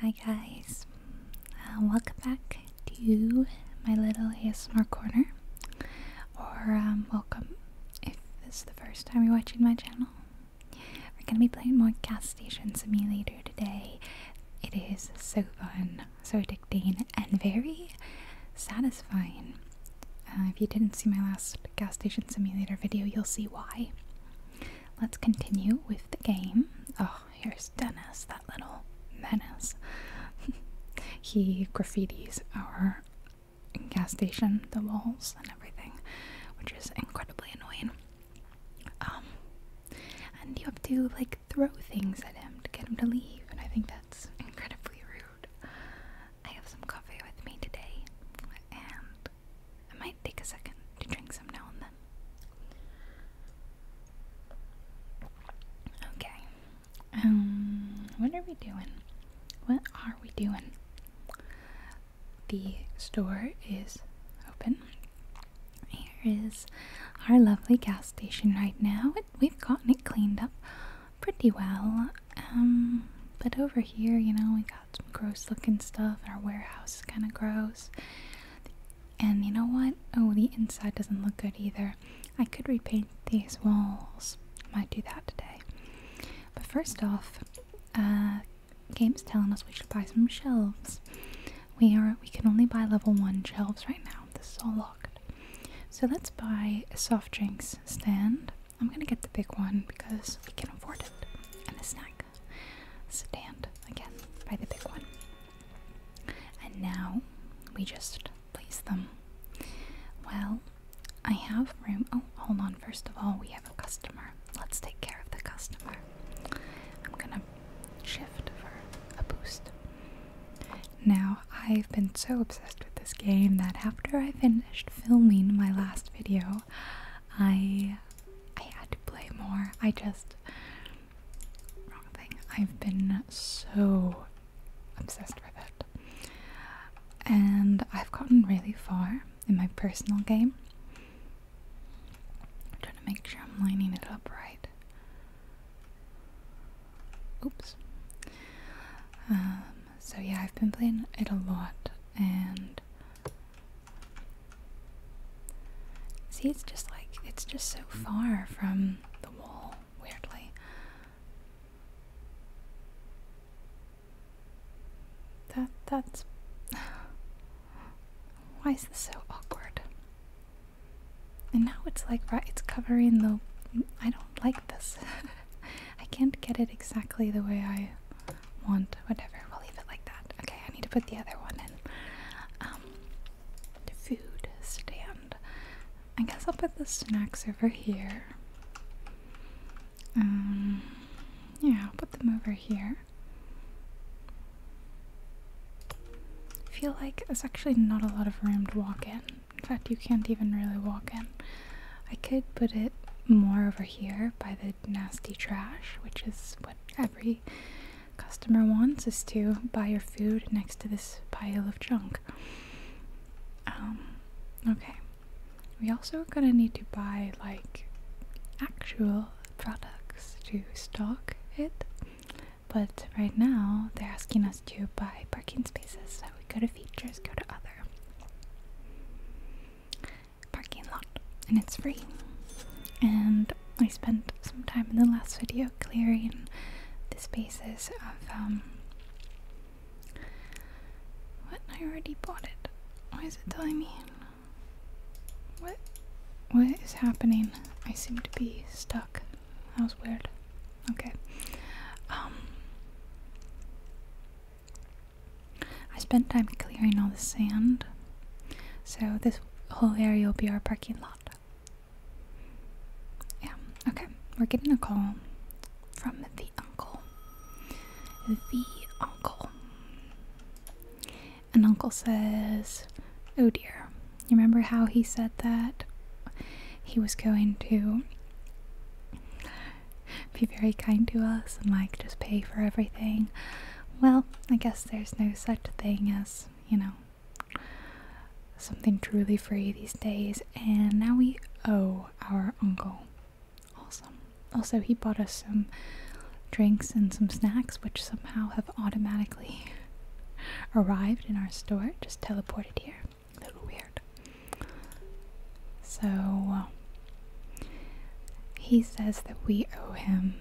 Hi guys, uh, welcome back to my little ASMR corner, or um, welcome if this is the first time you're watching my channel. We're gonna be playing more gas station simulator today. It is so fun, so addicting, and very satisfying. Uh, if you didn't see my last gas station simulator video, you'll see why. Let's continue with the game. Oh, here's Dennis, that little menace. he graffities our gas station, the walls, and everything, which is incredibly annoying. Um, and you have to like throw things at him to get him to leave, and I think that's incredibly rude. I have some coffee with me today, and I might take a second to drink some now and then. Okay. Um, what are we doing? What are we doing? The store is open. Here is our lovely gas station right now. we've gotten it cleaned up pretty well. Um, but over here, you know, we got some gross looking stuff, our warehouse is kind of gross. And you know what? Oh, the inside doesn't look good either. I could repaint these walls. I might do that today. But first off, uh, game's telling us we should buy some shelves. We are we can only buy level one shelves right now. This is all locked. So let's buy a soft drinks stand. I'm gonna get the big one because we can afford it. And a snack stand again by the big one. And now we just place them. Well, I have room. Oh, hold on. First of all, we have a customer. Let's take care of the customer. I'm gonna shift for a boost. Now, I've been so obsessed with this game that after I finished filming my last video, I I had to play more. I just. Wrong thing. I've been so obsessed with it. And I've gotten really far in my personal game. I'm trying to make sure I'm lining it up right. Oops. Um, so yeah, I've been playing it a lot and See, it's just like, it's just so hmm. far from the wall, weirdly. That, that's. Why is this so awkward? And now it's like, right, it's covering the. I don't like this. I can't get it exactly the way I want. Whatever, we'll leave it like that. Okay, I need to put the other one in. Um, food stand. I guess I'll put the snacks over here. Um, yeah, I'll put them over here. feel like there's actually not a lot of room to walk in. In fact, you can't even really walk in. I could put it more over here by the nasty trash, which is what every customer wants is to buy your food next to this pile of junk. Um, okay. We also are gonna need to buy like actual products to stock it. But right now they're asking us to buy parking spaces, so we go to features, go to other parking lot and it's free. And I spent some time in the last video clearing the spaces of um what I already bought it. Why is it telling me? What what is happening? I seem to be stuck. That was weird. Okay. Um I spent time clearing all the sand. So this whole area will be our parking lot. Yeah, okay. We're getting a call from the uncle. The uncle. And uncle says, Oh dear. You remember how he said that? He was going to be very kind to us and like just pay for everything well, I guess there's no such thing as, you know, something truly free these days. And now we owe our uncle. Awesome. Also, he bought us some drinks and some snacks, which somehow have automatically arrived in our store, just teleported here. A little weird. So, uh, he says that we owe him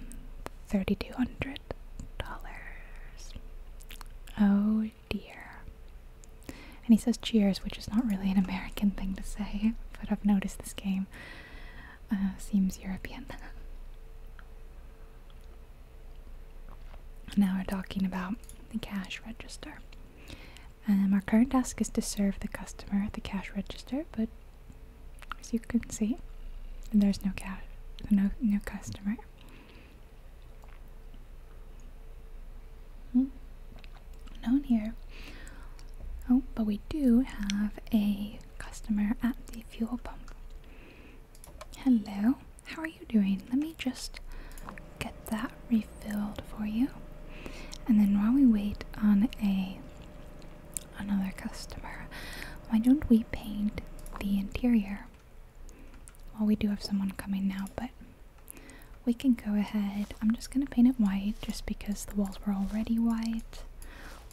$3,200. Oh dear. And he says cheers, which is not really an American thing to say, but I've noticed this game uh, seems European. now we're talking about the cash register. Um, our current task is to serve the customer at the cash register, but as you can see. there's no cash, no no customer. Mm -hmm. here. Oh, but we do have a customer at the fuel pump. Hello, how are you doing? Let me just get that refilled for you. And then while we wait on a Another customer. Why don't we paint the interior? Well, we do have someone coming now, but we can go ahead. I'm just gonna paint it white just because the walls were already white.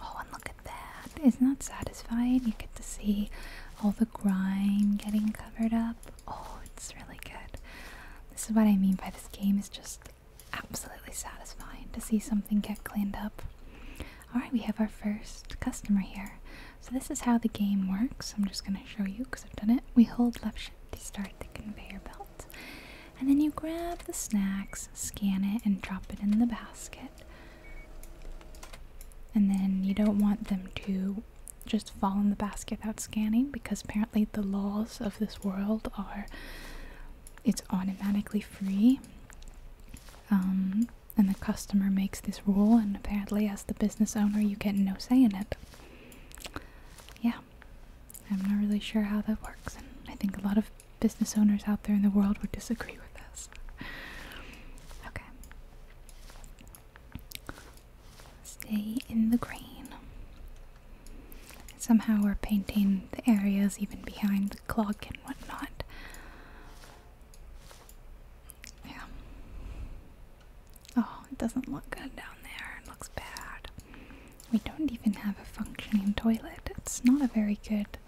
Oh, and look at that. Isn't that satisfying? You get to see all the grime getting covered up. Oh, it's really good. This is what I mean by this game It's just absolutely satisfying to see something get cleaned up. Alright, we have our first customer here. So this is how the game works. I'm just going to show you because I've done it. We hold left shift to start the conveyor belt. And then you grab the snacks, scan it, and drop it in the basket. And then you don't want them to just fall in the basket without scanning because apparently the laws of this world are it's automatically free um, and the customer makes this rule, and apparently, as the business owner, you get no say in it. Yeah, I'm not really sure how that works, and I think a lot of business owners out there in the world would disagree with this. Okay. Stay in the green. Somehow we're painting in the areas, even behind the clock and whatnot. Yeah. Oh, it doesn't look good down there. It looks bad. We don't even have a functioning toilet. It's not a very good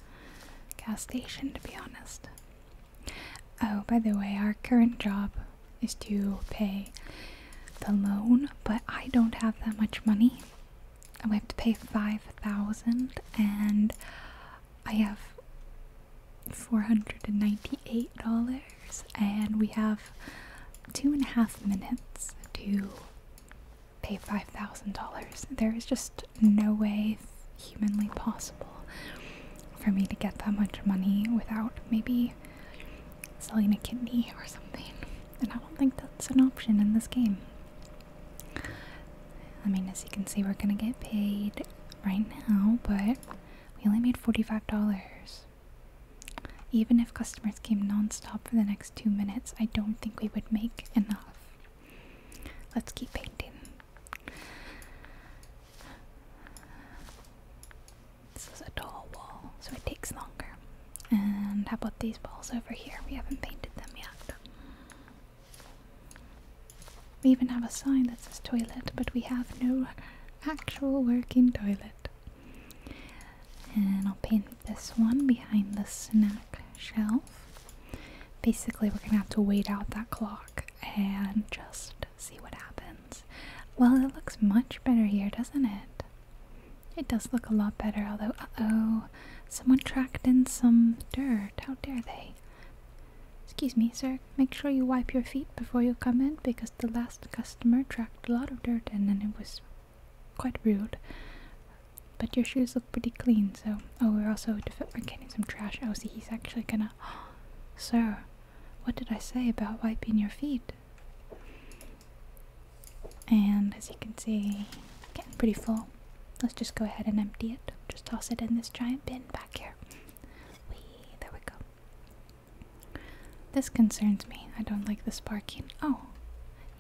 gas station, to be honest. Oh, by the way, our current job is to pay the loan, but I don't have that much money and we have to pay 5000 and I have $498 and we have two and a half minutes to pay $5,000. There is just no way humanly possible for me to get that much money without maybe selling a kidney or something. And I don't think that's an option in this game. I mean, as you can see, we're gonna get paid right now, but we only made $45. Even if customers came nonstop for the next two minutes, I don't think we would make enough. Let's keep painting. This is a tall wall, so it takes longer. And how about these walls over here? We haven't painted them yet. We even have a sign that says toilet, but we have no actual working toilet. And I'll paint this one behind the snack shelf. Basically, we're gonna have to wait out that clock and just see what happens. Well, it looks much better here, doesn't it? It does look a lot better, although, oh, someone tracked in some dirt. How dare they? Excuse me, sir. Make sure you wipe your feet before you come in because the last customer tracked a lot of dirt and then it was quite rude. But your shoes look pretty clean, so. Oh, we're also getting some trash. Oh, see, he's actually gonna. sir, what did I say about wiping your feet? And as you can see, getting pretty full let's just go ahead and empty it. Just toss it in this giant bin back here. there we go. This concerns me. I don't like the sparking. Oh,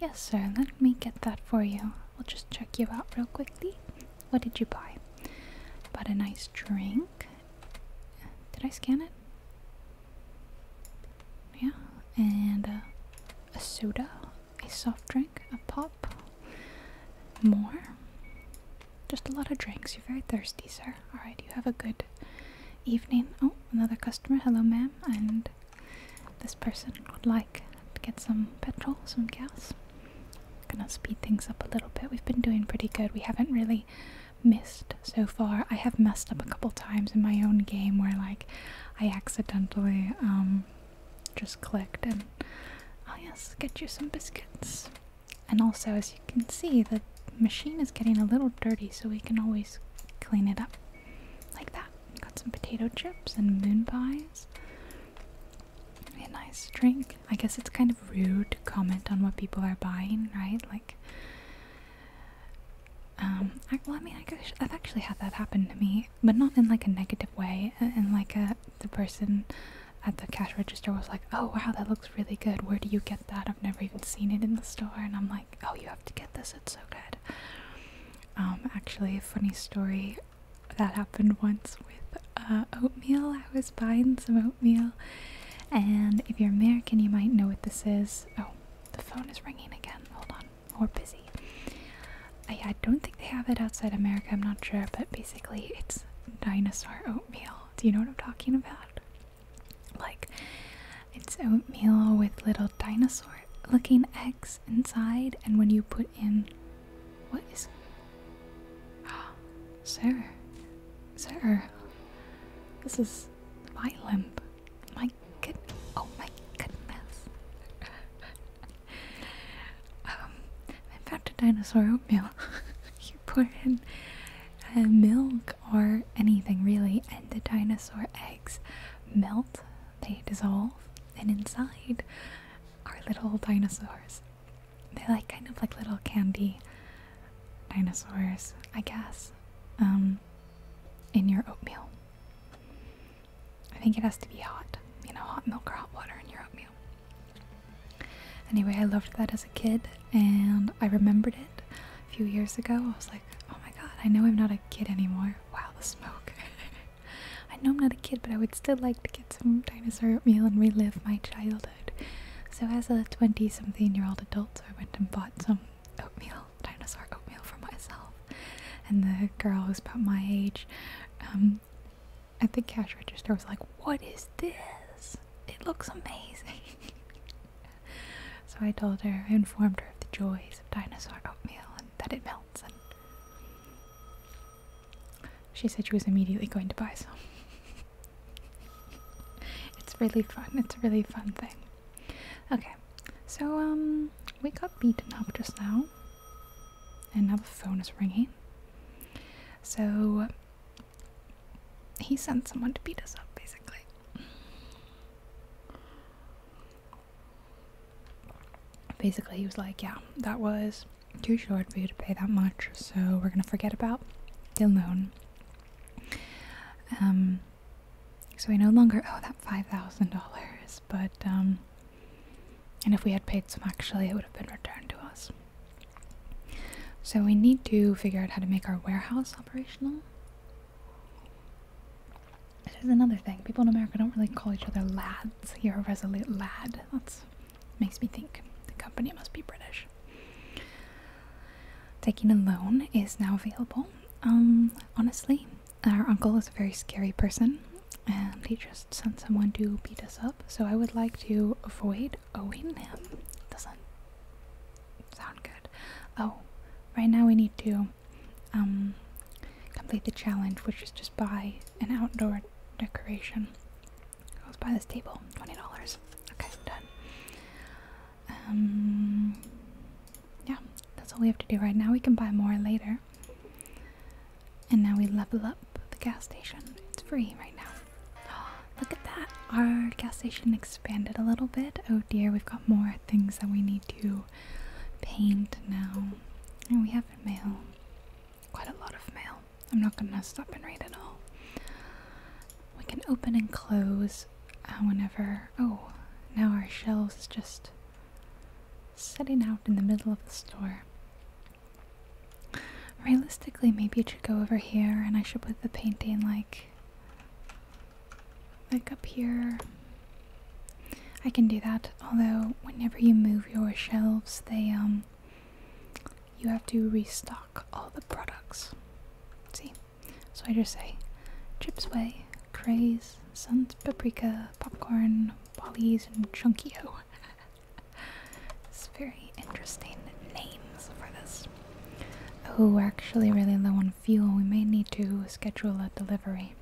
yes, sir. Let me get that for you. We'll just check you out real quickly. What did you buy? Bought a nice drink. Did I scan it? Yeah, and uh, a soda, a soft drink, a pop, more. Just a lot of drinks. You're very thirsty, sir. Alright, you have a good evening. Oh, another customer. Hello, ma'am. And this person would like to get some petrol, some gas. Gonna speed things up a little bit. We've been doing pretty good. We haven't really missed so far. I have messed up a couple times in my own game where, like, I accidentally, um, just clicked, and oh yes get you some biscuits and also as you can see the machine is getting a little dirty so we can always clean it up like that got some potato chips and moon pies a nice drink i guess it's kind of rude to comment on what people are buying right like um, well i mean I guess i've actually had that happen to me but not in like a negative way and uh, like a the person at the cash register was like oh wow that looks really good where do you get that i've never even seen it in the store and i'm like oh you have to get this it's so good um actually a funny story that happened once with uh, oatmeal i was buying some oatmeal and if you're american you might know what this is oh the phone is ringing again hold on or busy. I, don't think they have it outside America, I'm not sure, but basically it's dinosaur oatmeal. Do you know what I'm talking about? Like, it's oatmeal with little dinosaur looking eggs inside, and when you put in. What is. Oh, sir. Sir. This is my violent. My good. Oh my goodness. Um, I found a dinosaur oatmeal. you pour in uh, milk or anything really, and the dinosaur eggs melt, they dissolve, and inside are little dinosaurs. They're like kind of like little candy dinosaurs, I guess, um, in your oatmeal. I think it has to be hot, you know, hot milk or hot water in your oatmeal. Anyway, I loved that as a kid and I remembered it a few years ago. I was like, oh my god, I know I'm not a kid anymore. Wow, the smoke. I know I'm not a kid, but I would still like to get some dinosaur oatmeal and relive my childhood. So, as a 20 something year old adult, I went and bought some oatmeal, dinosaur oatmeal for myself. And the girl was about my age um, I think cash register was like, What is this? It looks amazing. so I told her, I informed her of the joys of dinosaur oatmeal and that it melts. And she said she was immediately going to buy some. it's really fun. It's a really fun thing. Okay, so um, we got beaten up just now. And now the phone is ringing. So he sent someone to beat us up, basically. Basically, he was like, Yeah, that was too short for you to pay that much, so we're gonna forget about the loan." Um, so we no longer owe that $5,000, but um, and if we had paid some actually, it would have been returned to us. So we need to figure out how to make our warehouse operational. This another thing. People in America don't really call each other lads. You're a resolute lad. That makes me think the company must be British. Taking a loan is now available. Um, honestly, our uncle is a very scary person, and he just sent someone to beat us up, so I would like to avoid owing him. Doesn't sound good. Oh, right now we need to um, complete the challenge, which is just buy an outdoor decoration. Let's buy this table, $20. Okay, done. Um, yeah, that's all we have to do right now. We can buy more later. And now we level up the gas station. It's free right now. Oh, look at that! Our gas station expanded a little bit. Oh dear, we've got more things that we need to paint now. And we have mail. Quite a lot of mail. I'm not gonna stop and read it all. We can open and close uh, whenever. Oh, now our shelves just setting out in the middle of the store. Realistically, maybe it should go over here and I should put the painting like like up here. I can do that, although whenever you move your shelves, they um you have to restock all the products. See? So I just say Chips Way, Craze, Sun's Paprika, Popcorn, Wally's and Chunkio. it's very interesting names for this. Oh, we're actually really low on fuel. We may need to schedule a delivery.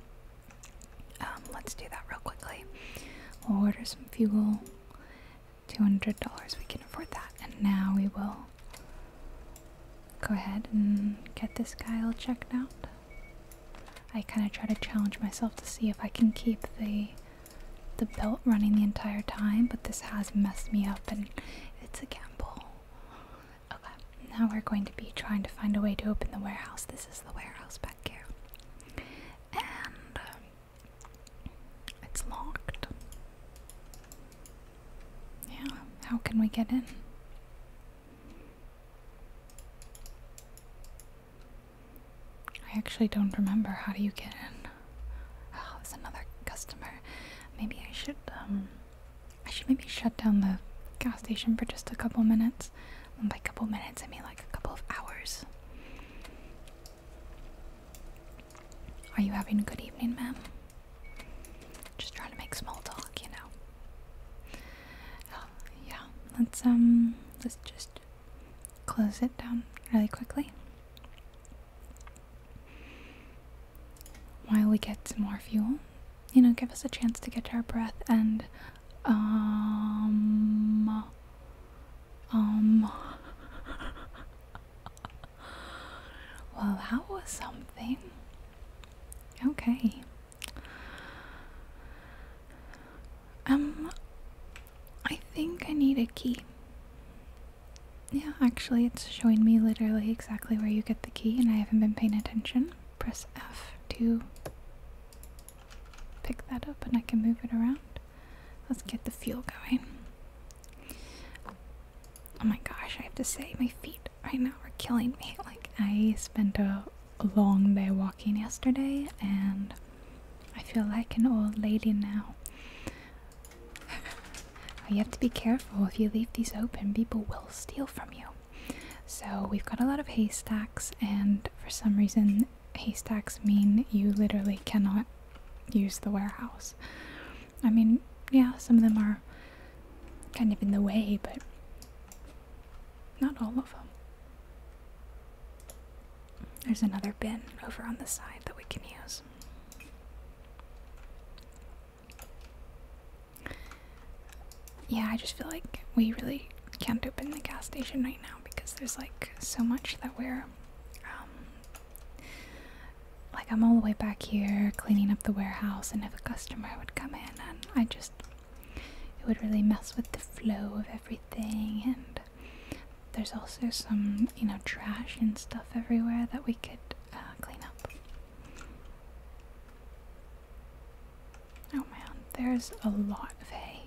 Um, let's do that real quickly. We'll order some fuel. $200, we can afford that. And now we will go ahead and get this guy all checked out. I kind of try to challenge myself to see if I can keep the the belt running the entire time, but this has messed me up and it's a gamble. Okay, now we're going to be trying to find a way to open the warehouse. This is the warehouse back here. And um, it's locked. Yeah, how can we get in? I actually don't remember. How do you get in? Oh, there's another customer. Maybe I should, um, I should maybe shut down the gas station for just a couple minutes. And by couple minutes, I mean like a couple of hours. Are you having a good evening, ma'am? Just trying to make small talk, you know yeah, let's um let's just close it down really quickly while we get some more fuel. You know, give us a chance to get our breath and um um Well, that was something. Okay. Um, I think I need a key. Yeah, actually, it's showing me literally exactly where you get the key, and I haven't been paying attention. Press F to pick that up, and I can move it around. Let's get the fuel going. Oh my gosh, I have to say, my feet right now are killing me. Like, I spent a long day walking yesterday and I feel like an old lady now. you have to be careful if you leave these open, people will steal from you. So we've got a lot of haystacks, and for some reason, haystacks mean you literally cannot use the warehouse. I mean, yeah, some of them are kind of in the way, but not all of them. There's another bin over on the side that we can use. Yeah, I just feel like we really can't open the gas station right now because there's like so much that we're um, like I'm all the way back here cleaning up the warehouse and if a customer would come in and I just it would really mess with the flow of everything and there's also some you know trash and stuff everywhere that we could uh, clean up oh man there's a lot of hay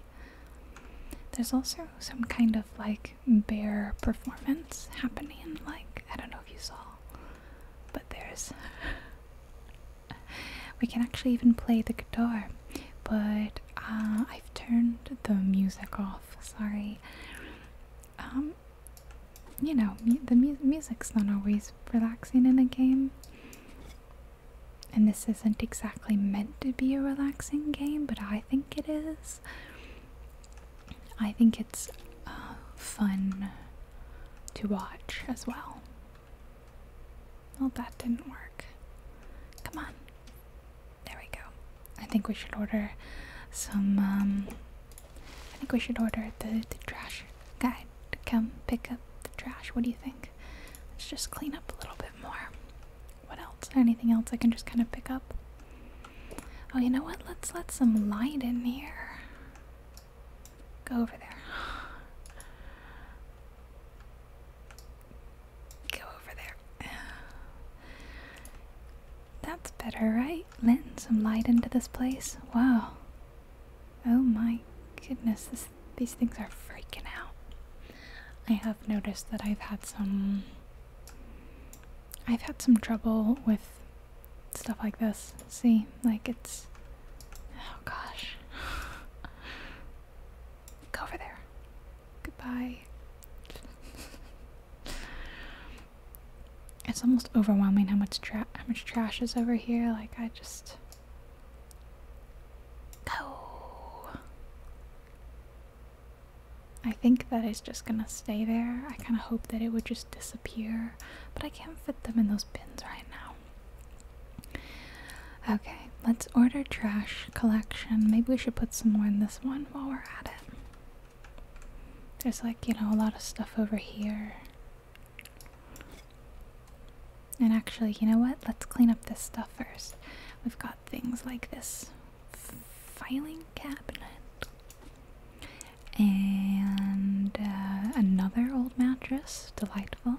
there's also some kind of like bear performance happening like i don't know if you saw but there's we can actually even play the guitar, but uh, I've turned the music off. Sorry. Um, you know, the music's not always relaxing in a game. And this isn't exactly meant to be a relaxing game, but I think it is. I think it's uh, fun to watch as well. Well, that didn't work. Come on. There we go. I think we should order some, um, I think we should order the, the trash guy to come pick up the trash. What do you think? Let's just clean up a little bit more. What else? Anything else I can just kind of pick up? Oh, you know what? Let's let some light in here. Go over there. Go over there. That's better, right? Letting some light into this place. Wow. Oh my goodness, these things are freaking out. I have noticed that I've had some. I've had some trouble with stuff like this. See, like it's. Oh gosh. Go over there. Goodbye. it's almost overwhelming how much tra how much trash is over here. Like I just go. I think that it's just gonna stay there. I kind of hope that it would just disappear, but I can't fit them in those bins right now. Okay, let's order trash collection. Maybe we should put some more in this one while we're at it. There's like, you know, a lot of stuff over here. And actually, you know what? Let's clean up this stuff first. We've got things like this filing cabinet and uh, another old mattress. Delightful.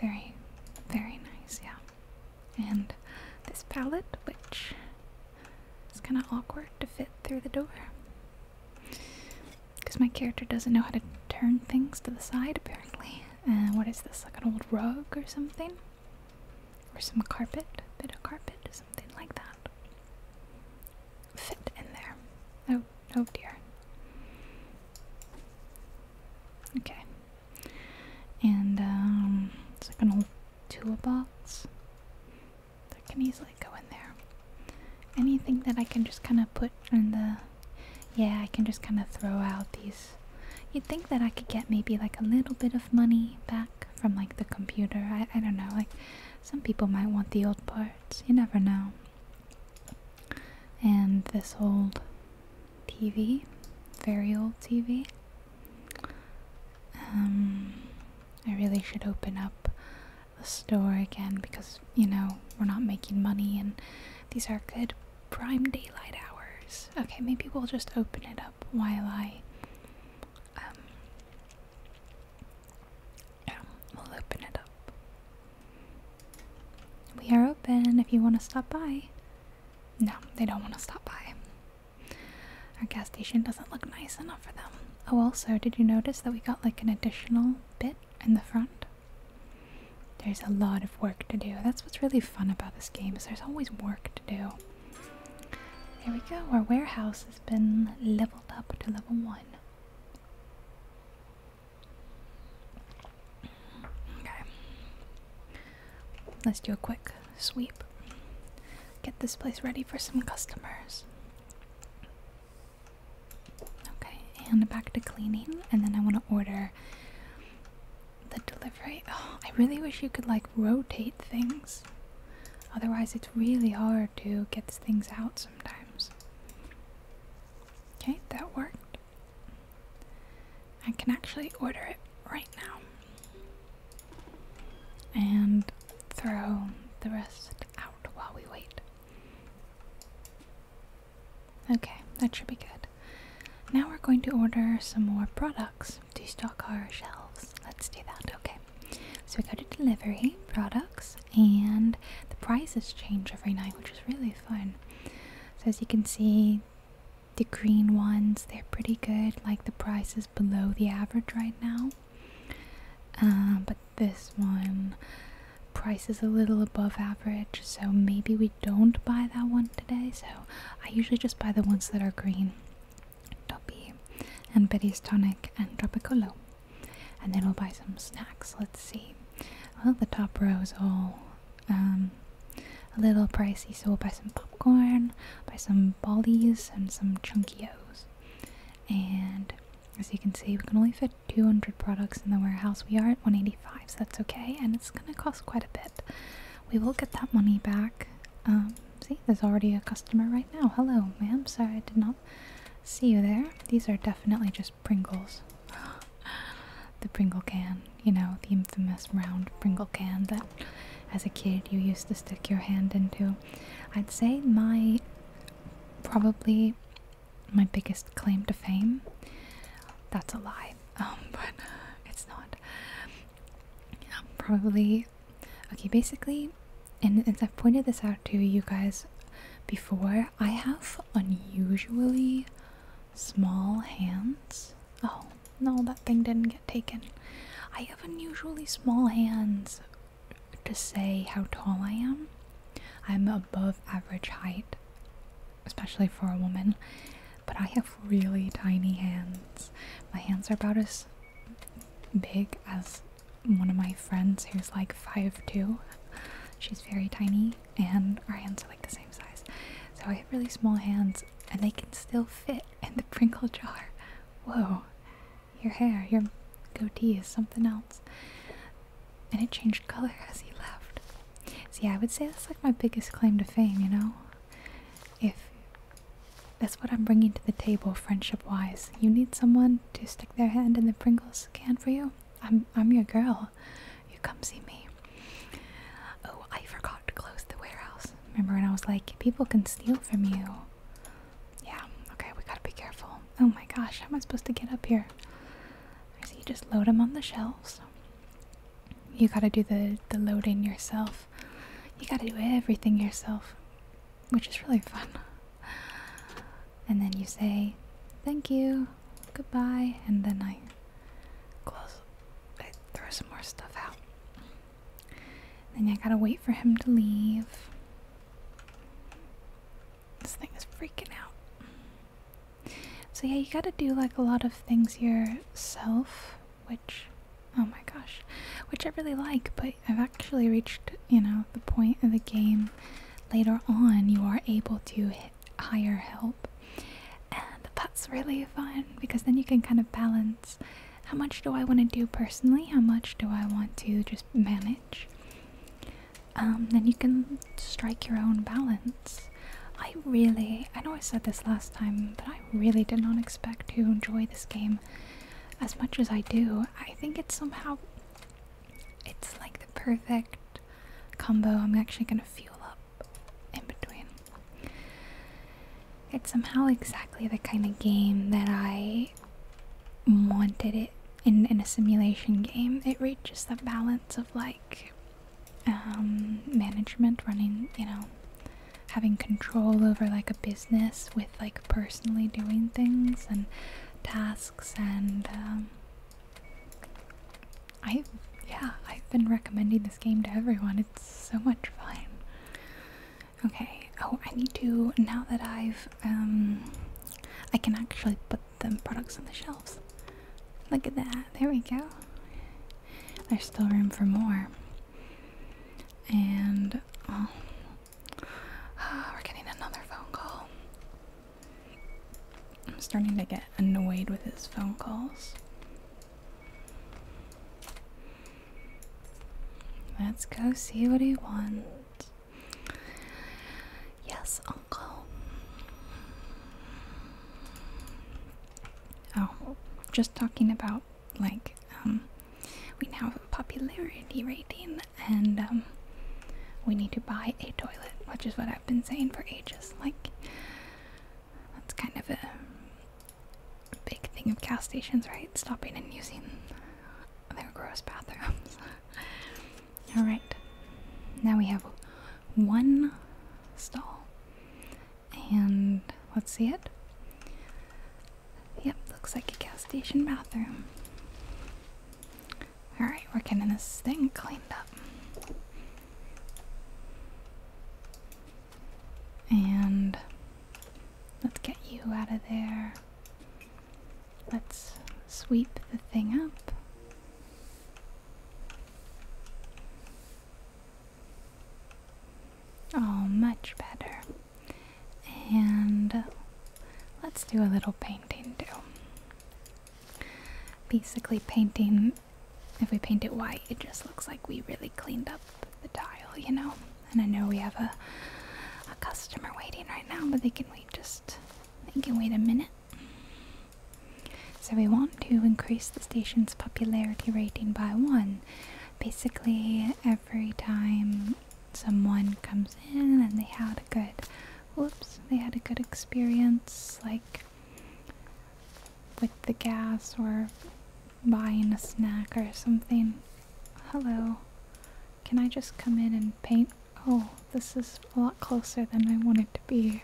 Very, very nice, yeah. And this palette, which is kind of awkward to fit through the door. Because my character doesn't know how to turn things to the side, apparently. And what is this, like an old rug or something? Or some carpet, bit of carpet, something like that fit in there. Oh, oh dear. Okay. And um, it's like an old toolbox that can easily go in there. Anything that I can just kind of put in the. Yeah, I can just kind of throw out these. You'd think that I could get maybe like a little bit of money back from like the computer. I, I don't know. Like some people might want the old parts. You never know and this old TV, very old TV. Um, I really should open up the store again because you know we're not making money and these are good prime daylight hours. Okay, maybe we'll just open it up while I um, yeah, we'll open it up. We are open if you want to stop by. No, they don't want to stop by. Our gas station doesn't look nice enough for them. Oh, also, did you notice that we got like an additional bit in the front? There's a lot of work to do. That's what's really fun about this game is there's always work to do. There we go. Our warehouse has been leveled up to level 1. Okay. Let's do a quick sweep. Get this place ready for some customers. Okay, and back to cleaning, and then I want to order the delivery. Oh, I really wish you could like rotate things. Otherwise, it's really hard to get things out sometimes. Okay, that worked. I can actually order it right now and throw the rest out while we wait. Okay, that should be good. Now we're going to order some more products to stock our shelves. Let's do that, okay. So we go to delivery, products, and the prices change every night, which is really fun. So, as you can see, the green ones they're pretty good, like the price is below the average right now. Uh, but this one price is a little above average, so maybe we don't buy that one today. So, I usually just buy the ones that are green. Toppy and Betty's Tonic and Tropicolo and then we'll buy some snacks. Let's see. Well, the top rows all um, a little pricey, so we'll buy some popcorn, buy some baldies, and some chunkios. And as you can see, we can only fit 200 products in the warehouse. We are at 185, so that's okay, and it's gonna cost quite a bit. We will get that money back. Um, see, there's already a customer right now. Hello, ma'am. Sorry, I did not see you there. These are definitely just Pringles. the Pringle can, you know, the infamous round Pringle can that as a kid you used to stick your hand into. I'd say my probably my biggest claim to fame. That's a lie, um, but it's not. probably, okay, basically, and, as I've pointed this out to you guys before, I have unusually small hands. Oh, no, that thing didn't get taken. I have unusually small hands to say how tall I am. I'm above average height, especially for a woman, but I have really tiny hands. My hands are about as big as one of my friends who's like five two, she's very tiny, and our hands are like the same size. So I have really small hands, and they can still fit in the Pringle jar. Whoa, your hair, your goatee is something else. And it changed color as he left. See, I would say that's like my biggest claim to fame, you know? If that's what I'm bringing to the table friendship wise. You need someone to stick their hand in the Pringles can for you? I'm I'm your girl. You come see me. Oh, I forgot to close the warehouse. Remember when I was like, people can steal from you. Yeah, okay, we gotta be careful. Oh my gosh, how am I supposed to get up here? I see you just load them on the shelves. You gotta do the, the loading yourself. You gotta do everything yourself, which is really fun and then you say thank you, goodbye, and then I close. I throw some more stuff out. Then I gotta wait for him to leave. This thing is freaking out. So yeah, you gotta do like a lot of things yourself, which, oh my gosh, which I really like, but I've actually reached, you know, the point of the game later on you are able to hire help. And that's really fun because then you can kind of balance how much do I want to do personally, how much do I want to just manage. Um, then you can strike your own balance. I really, I know I said this last time, but I really did not expect to enjoy this game as much as I do. I think it's somehow it's like the perfect combo. I'm actually going to fuel up in between. It's somehow exactly the kind of game that I wanted it in, in a simulation game. It reaches the balance of like um, management, running, you know, having control over like a business with like personally doing things and tasks and um, I yeah, I've been recommending this game to everyone. It's so much fun. Okay. Oh, I need to now that I've um I can actually put the products on the shelves. Look at that. There we go. There's still room for more. And oh, We're getting another phone call. I'm starting to get annoyed with his phone calls. Let's go see what he wants. Yes, Uncle. Oh, just talking about like um, we now have a popularity rating and um, we need to buy a toilet, which is what I've been saying for ages. Like, that's kind of a big thing of gas stations, right? Stopping and using their gross bathrooms. Alright, now we have one stall, and let's see it. Yep, looks like a gas station bathroom. Alright, we're getting this thing cleaned up. And let's get you out of there. Let's sweep the thing up. Oh, much better. And let's do a little painting too. Basically, painting, if we paint it white, it just looks like we really cleaned up the tile, you know? And I know we have a, a customer waiting right now, but they can wait just, they can wait a minute. So we want to increase the station's popularity rating by one. Basically, every time someone comes in and they had a good whoops, they had a good experience, like with the gas or buying a snack or something. Hello, can I just come in and paint? Oh, this is a lot closer than I wanted to be.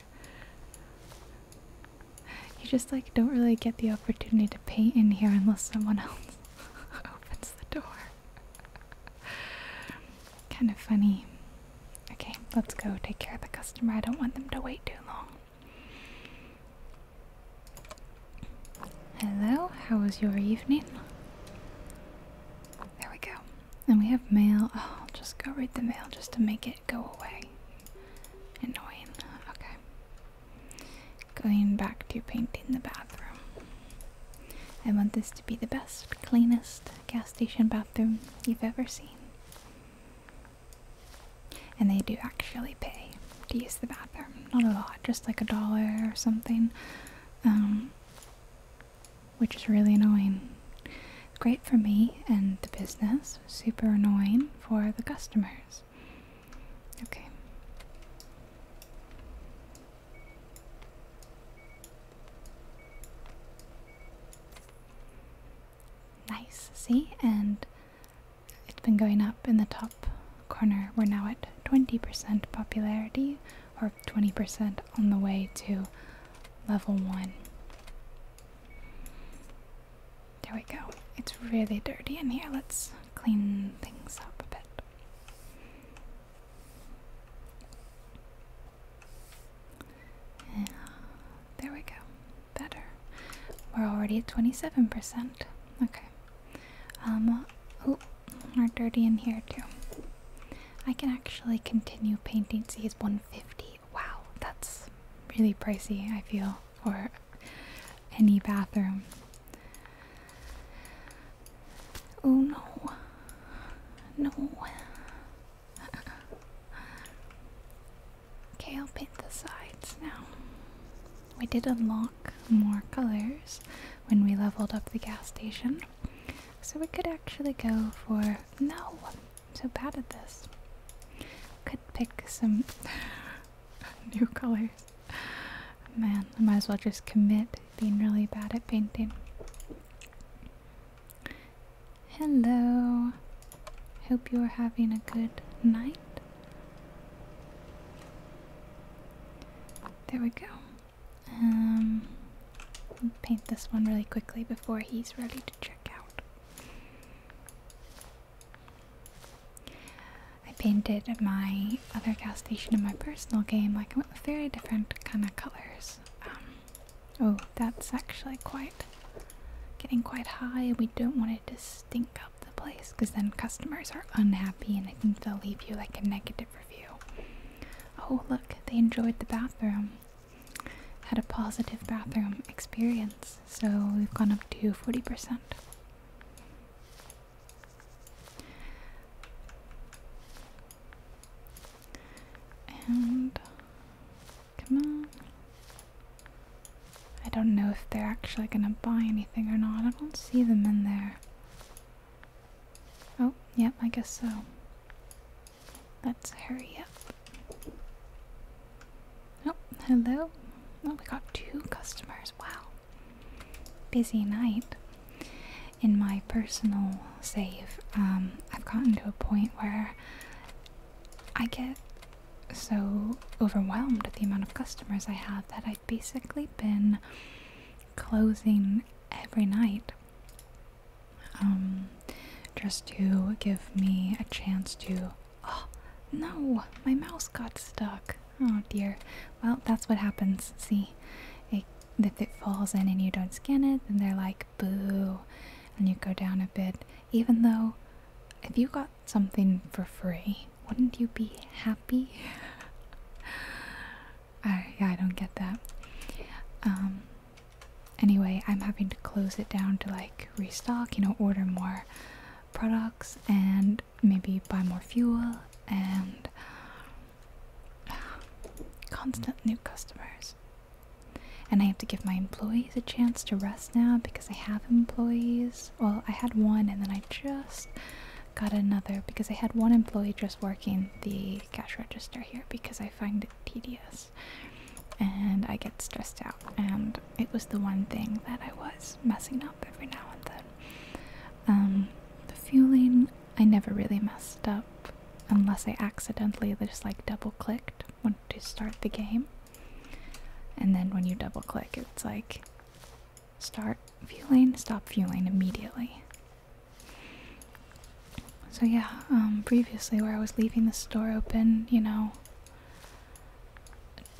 You just like don't really get the opportunity to paint in here unless someone else opens the door kind of funny. Okay, let's go take care of the customer. I don't want them to wait too long. Hello, how was your evening? There we go. And we have mail. Oh, just go read the mail just to make it go away. Annoying. Okay. Going back to painting the bathroom. I want this to be the best, cleanest, gas station bathroom you've ever seen. And they do actually pay to use the bathroom. Not a lot, just like a dollar or something. Um, which is really annoying. Great for me and the business, super annoying for the customers. Okay. Nice, see? And it's been going up in the top corner. We're now at 20% popularity, or 20% on the way to level 1. There we go. It's really dirty in here. Let's clean things up a bit there we go. Better. We're already at 27%. Okay. Um, oh, we're dirty in here too. I can actually continue painting. See, it's 150. Wow, that's really pricey, I feel, for any bathroom. Oh no. No. okay, I'll paint the sides now. We did unlock more colors when we leveled up the gas station. So we could actually go for. No! I'm so bad at this. Could pick some new colors. Man, I might as well just commit being really bad at painting. Hello. Hope you are having a good night. There we go. Um, paint this one really quickly before he's ready to check out. I painted my other gas station in my personal game. Like I went with very different kind of colors. Um, oh that's actually quite getting quite high we don't want it to stink up the place because then customers are unhappy and I think they'll leave you like a negative review. Oh look, they enjoyed the bathroom. Had a positive bathroom experience, so we've gone up to 40% come on. I don't know if they're actually gonna buy anything or not. I don't see them in there. Oh, yep, I guess so. Let's hurry up. Oh, hello. Well, oh, we got two customers. Wow. Busy night in my personal save, um, I've gotten to a point where I get so overwhelmed at the amount of customers I have that I've basically been closing every night um, just to give me a chance to. Oh, no, my mouse got stuck. Oh dear. Well, that's what happens. See, it if it falls in and you don't scan it, then they're like, boo, and you go down a bit. Even though, if you got something for free, wouldn't you be happy? I, yeah, I don't get that. Um, anyway, I'm having to close it down to like restock, you know, order more products and maybe buy more fuel and constant new customers. And I have to give my employees a chance to rest now because I have employees. Well, I had one and then I just got another because I had one employee just working the cash register here because I find it tedious and I get stressed out. And it was the one thing that I was messing up every now and then. Um, the fueling, I never really messed up unless I accidentally just like double clicked when to start the game. And then when you double click, it's like start fueling, stop fueling immediately. So yeah, um, previously where I was leaving the store open, you know,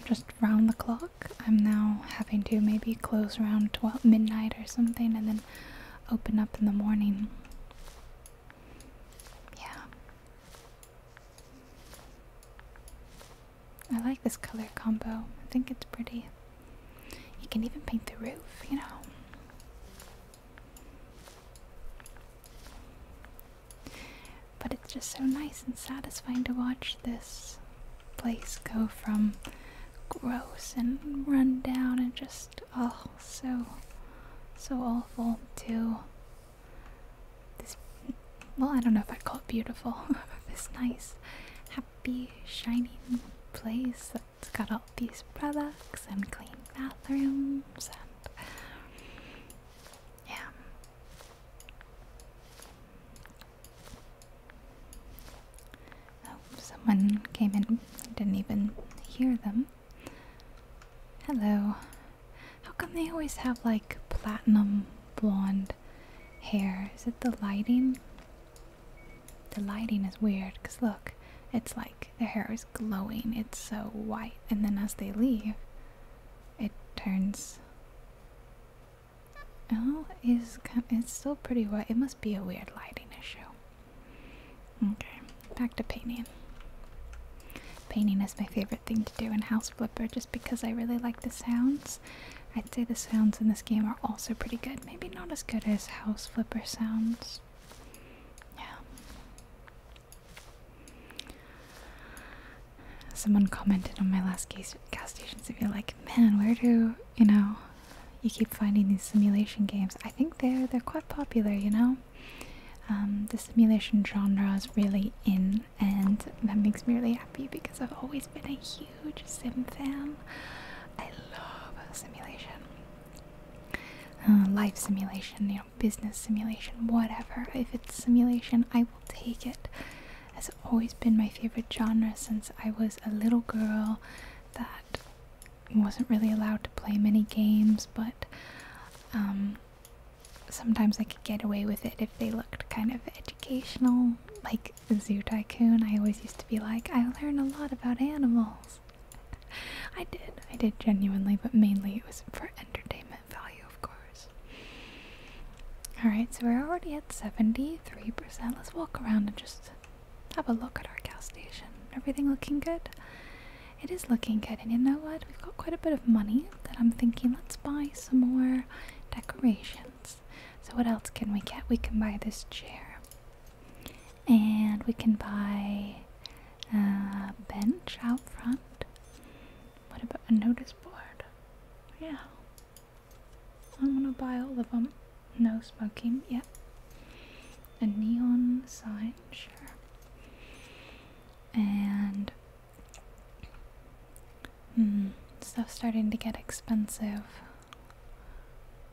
just round the clock, I'm now having to maybe close around 12 midnight or something and then open up in the morning. Yeah. I like this color combo. I think it's pretty. You can even paint the roof, you know. But it's just so nice and satisfying to watch this place go from gross and run down and just oh so so awful too. this well I don't know if I'd call it beautiful this nice happy shining place that's got all these products and clean bathrooms and yeah Oh, someone came in. I didn't even hear them. Hello. How come they always have like platinum blonde hair? Is it the lighting? The lighting is weird because look, it's like the hair is glowing. It's so white. And then as they leave, it turns. Oh, it's, it's still pretty white. It must be a weird lighting issue. Okay, back to painting. Painting is my favorite thing to do in House Flipper just because I really like the sounds. I'd say the sounds in this game are also pretty good. Maybe not as good as House Flipper sounds. Yeah. Someone commented on my last gas, gas stations and be like, man, where do, you know, you keep finding these simulation games. I think they're they're quite popular, you know. Um, the simulation genre is really in, and that makes me really happy because I've always been a huge sim fan. I love simulation, uh, life simulation, you know, business simulation, whatever. If it's simulation, I will take it. Has always been my favorite genre since I was a little girl. That wasn't really allowed to play many games, but um, sometimes I could get away with it if they looked kind of educational. Like Zoo Tycoon, I always used to be like, I learned a lot about animals. I did, I did genuinely, but mainly it was for entertainment value, of course. Alright, so we're already at 73%. Let's walk around and just have a look at our gas station. Everything looking good? It is looking good, and you know what? We've got quite a bit of money that I'm thinking let's buy some more decorations. So, what else can we get? We can buy this chair, and we can buy a bench out front. What about a notice board? Yeah. I'm gonna buy all of them. No smoking, yeah. A neon sign, sure. And mm, stuff starting to get expensive.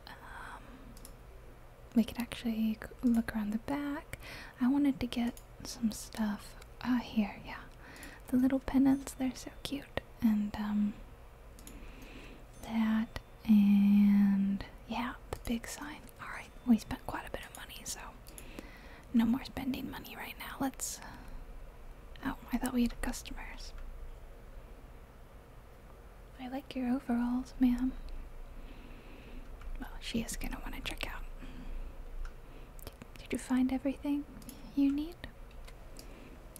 Um, we could actually look around the back. I wanted to get some stuff. Ah, here, yeah. The little pennants, they're so cute. And, um, that and yeah, the big sign. Alright, we spent quite a bit of money, so no more spending money right now. Let's. Oh, I thought we had customers. I like your overalls, ma'am. Well, she is gonna want to check out. Did, you find everything you need?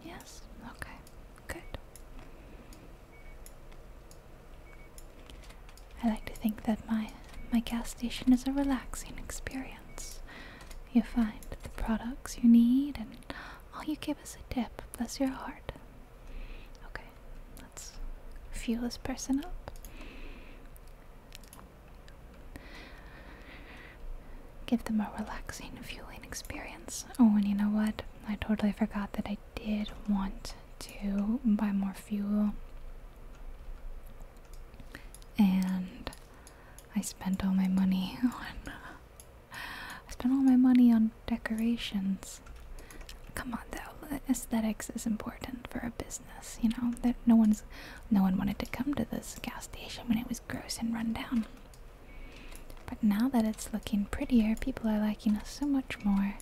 Yes? Okay, good. I like to think that my my gas station is a relaxing experience. You find the products you need and all you give is a dip. bless your heart. Okay, let's fuel this person up. Give them a relaxing fueling experience. Oh, and you know what? I totally forgot that I did want to buy more fuel and I spent all my money on I spent all my money on decorations. Come on though, aesthetics is important for a business, you know. That no one's no one wanted to come to this gas station when it was gross and run down. But now that it's looking prettier, people are liking us so much more.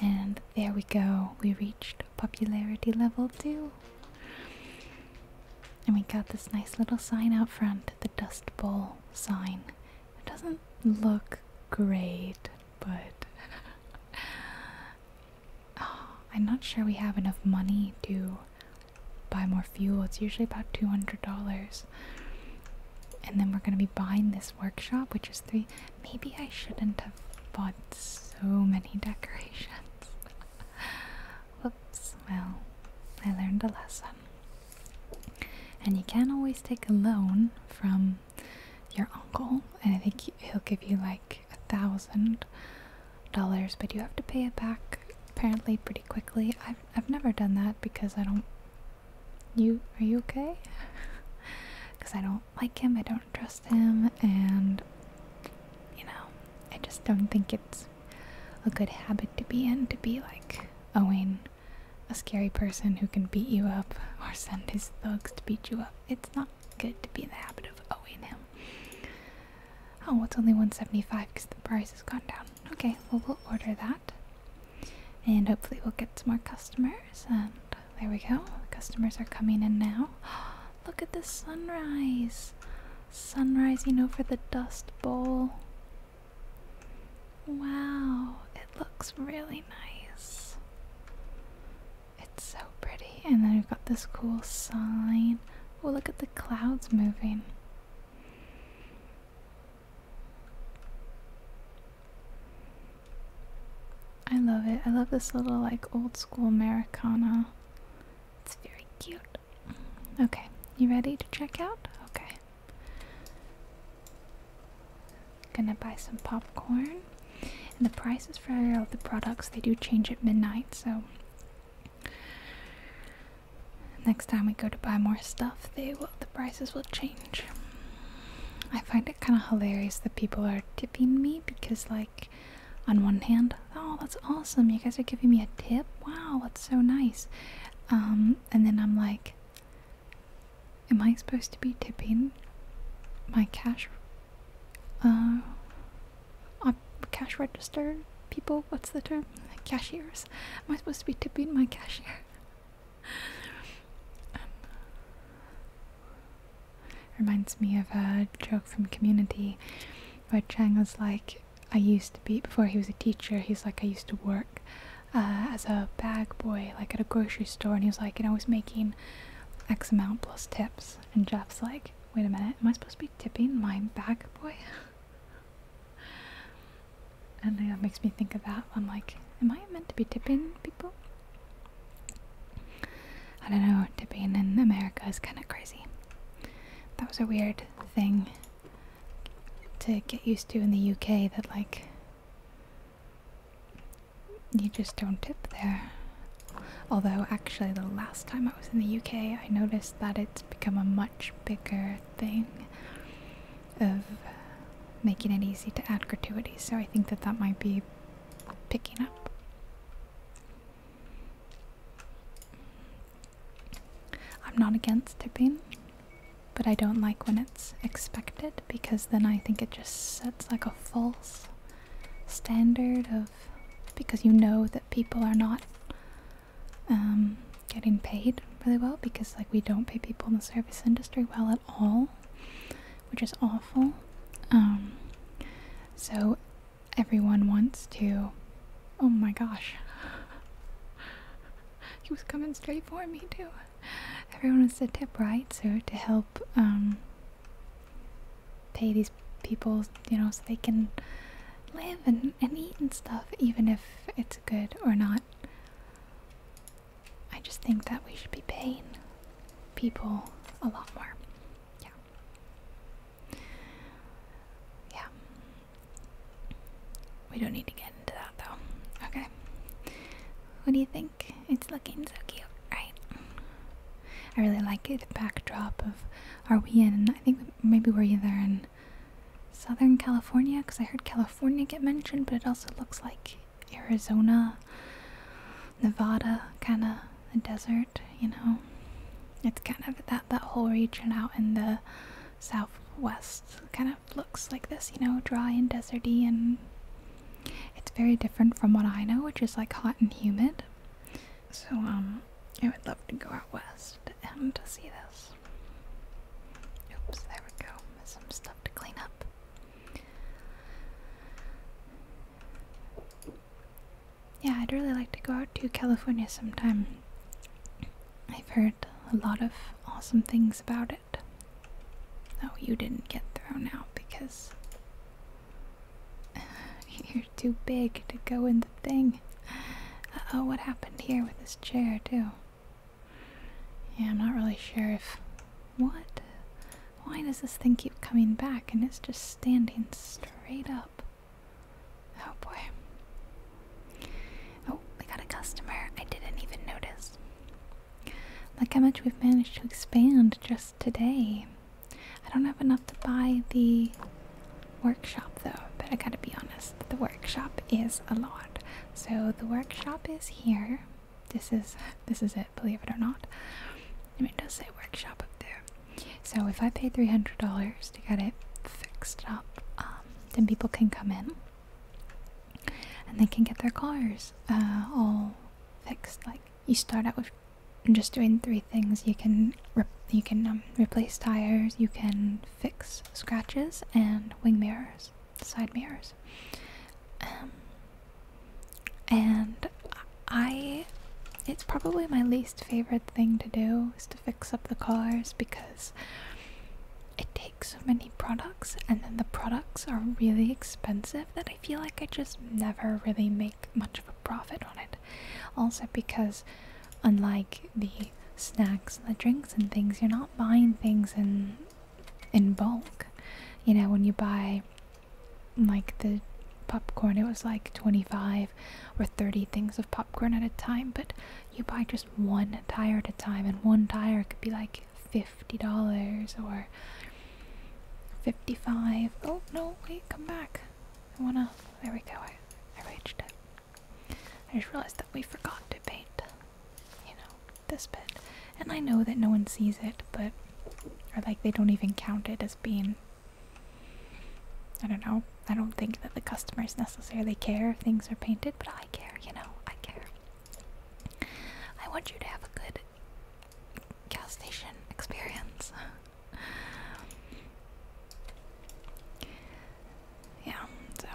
And there we go, we reached popularity level 2. And we got this nice little sign out front, the Dust Bowl sign. It doesn't look great, but ah, I'm not sure we have enough money to buy more fuel. It's usually about $200. And then we're gonna be buying this workshop, which is three. Maybe I shouldn't have bought so many decorations. Oops. well, I learned a lesson. And you can always take a loan from your uncle, and I think he'll give you like a thousand dollars, but you have to pay it back apparently pretty quickly. I've, I've never done that because I don't you are you okay? Because I don't like him, I don't trust him, and you know, I just don't think it's a good habit to be in to be like owing oh, a scary person who can beat you up or send his thugs to beat you up. It's not good to be in the habit of owing him. Oh, it's only 175 because the price has gone down. Okay, well, we'll order that. And hopefully, we'll get some more customers. And there we go. The customers are coming in now. Look at the sunrise. sun rising over the Dust Bowl. Wow, it looks really nice. It's so pretty. And then we've got this cool sign. Oh, look at the clouds moving. I love it. I love this little like old school Americana. It's very cute. Okay, you ready to check out? Okay. Gonna buy some popcorn. And the prices for all the products they do change at midnight, so next time we go to buy more stuff, they will the prices will change. I find it kind of hilarious that people are tipping me because, like, on one hand, oh, that's awesome, you guys are giving me a tip, wow, that's so nice. Um, and then I'm like, am I supposed to be tipping my cash, uh, uh, cash register people? What's the term? Cashiers. Am I supposed to be tipping my cashier? Uh, reminds me of a joke from Community where Chang was like, I used to be, before he was a teacher, he's like, I used to work uh, as a bag boy, like at a grocery store, and he was like, and I was making X amount plus tips. And Jeff's like, wait a minute, am I supposed to be tipping my bag boy? And that makes me think of that. I'm like, am I meant to be tipping people? I don't know, tipping in America is kind of crazy. That was a weird thing to get used to in the UK that, like, you just don't tip there. Although, actually, the last time I was in the UK, I noticed that it's become a much bigger thing of making it easy to add gratuities. So I think that that might be picking up. I'm not against tipping, but I don't like when it's expected because then I think it just sets like a false standard of because you know that people are not um, getting paid really well because like we don't pay people in the service industry well at all, which is awful. Um, so everyone wants to. Oh my gosh. He was coming straight for me too. Everyone wants to tip right, so to help um, pay these people, you know, so they can live and, and eat and stuff, even if it's good or not. I just think that we should be paying people a lot more. Yeah. Yeah. We don't need to get into that though. Okay. What do you think? It's looking so cute, right? I really like it. The backdrop of are we in? I think maybe we're either in Southern California because I heard California get mentioned, but it also looks like Arizona, Nevada, kind of the desert, you know. It's kind of that that whole region out in the southwest kind of looks like this, you know, dry and deserty, and it's very different from what I know, which is like hot and humid. So um, I would love to go out west and to see this. Oops, there we go. There's some stuff to clean up. Yeah, I'd really like to go out to California sometime. I've heard a lot of awesome things about it. Oh, you didn't get thrown out because you're too big to go in the thing. oh, what happened here with this chair, too? Yeah, I'm not really sure if. What? Why does this thing keep coming back and it's just standing straight up? Oh boy. Oh, we got a customer. I didn't even notice. Like how much we've managed to expand just today. I don't have enough to buy the workshop though, but I gotta be honest, the workshop is a lot. So the workshop is here this is this is it, believe it or not. I mean, it does say workshop up there. So if I pay three hundred dollars to get it fixed up, um, then people can come in and they can get their cars uh, all fixed. Like you start out with just doing three things: you can you can um, replace tires, you can fix scratches, and wing mirrors side mirrors. Um, and I, it's probably my least favorite thing to do is to fix up the cars because it takes so many products, and then the products are really expensive that I feel like I just never really make much of a profit on it. Also, because unlike the snacks and the drinks and things, you're not buying things and in bulk. You know, when you buy like the popcorn, it was like 25 or 30 things of popcorn at a time, but you buy just one tire at a time, and one tire could be like $50 or 55 Oh, no, wait, come back. I wanna. There we go. I, reached it. I just realized that we forgot to paint. You know this bit. And I know that no one sees it, but or like they don't even count it as being I don't know. I don't think that the customers necessarily care if things are painted, but I care, you know, I care. I want you to have a good gas station experience. yeah, so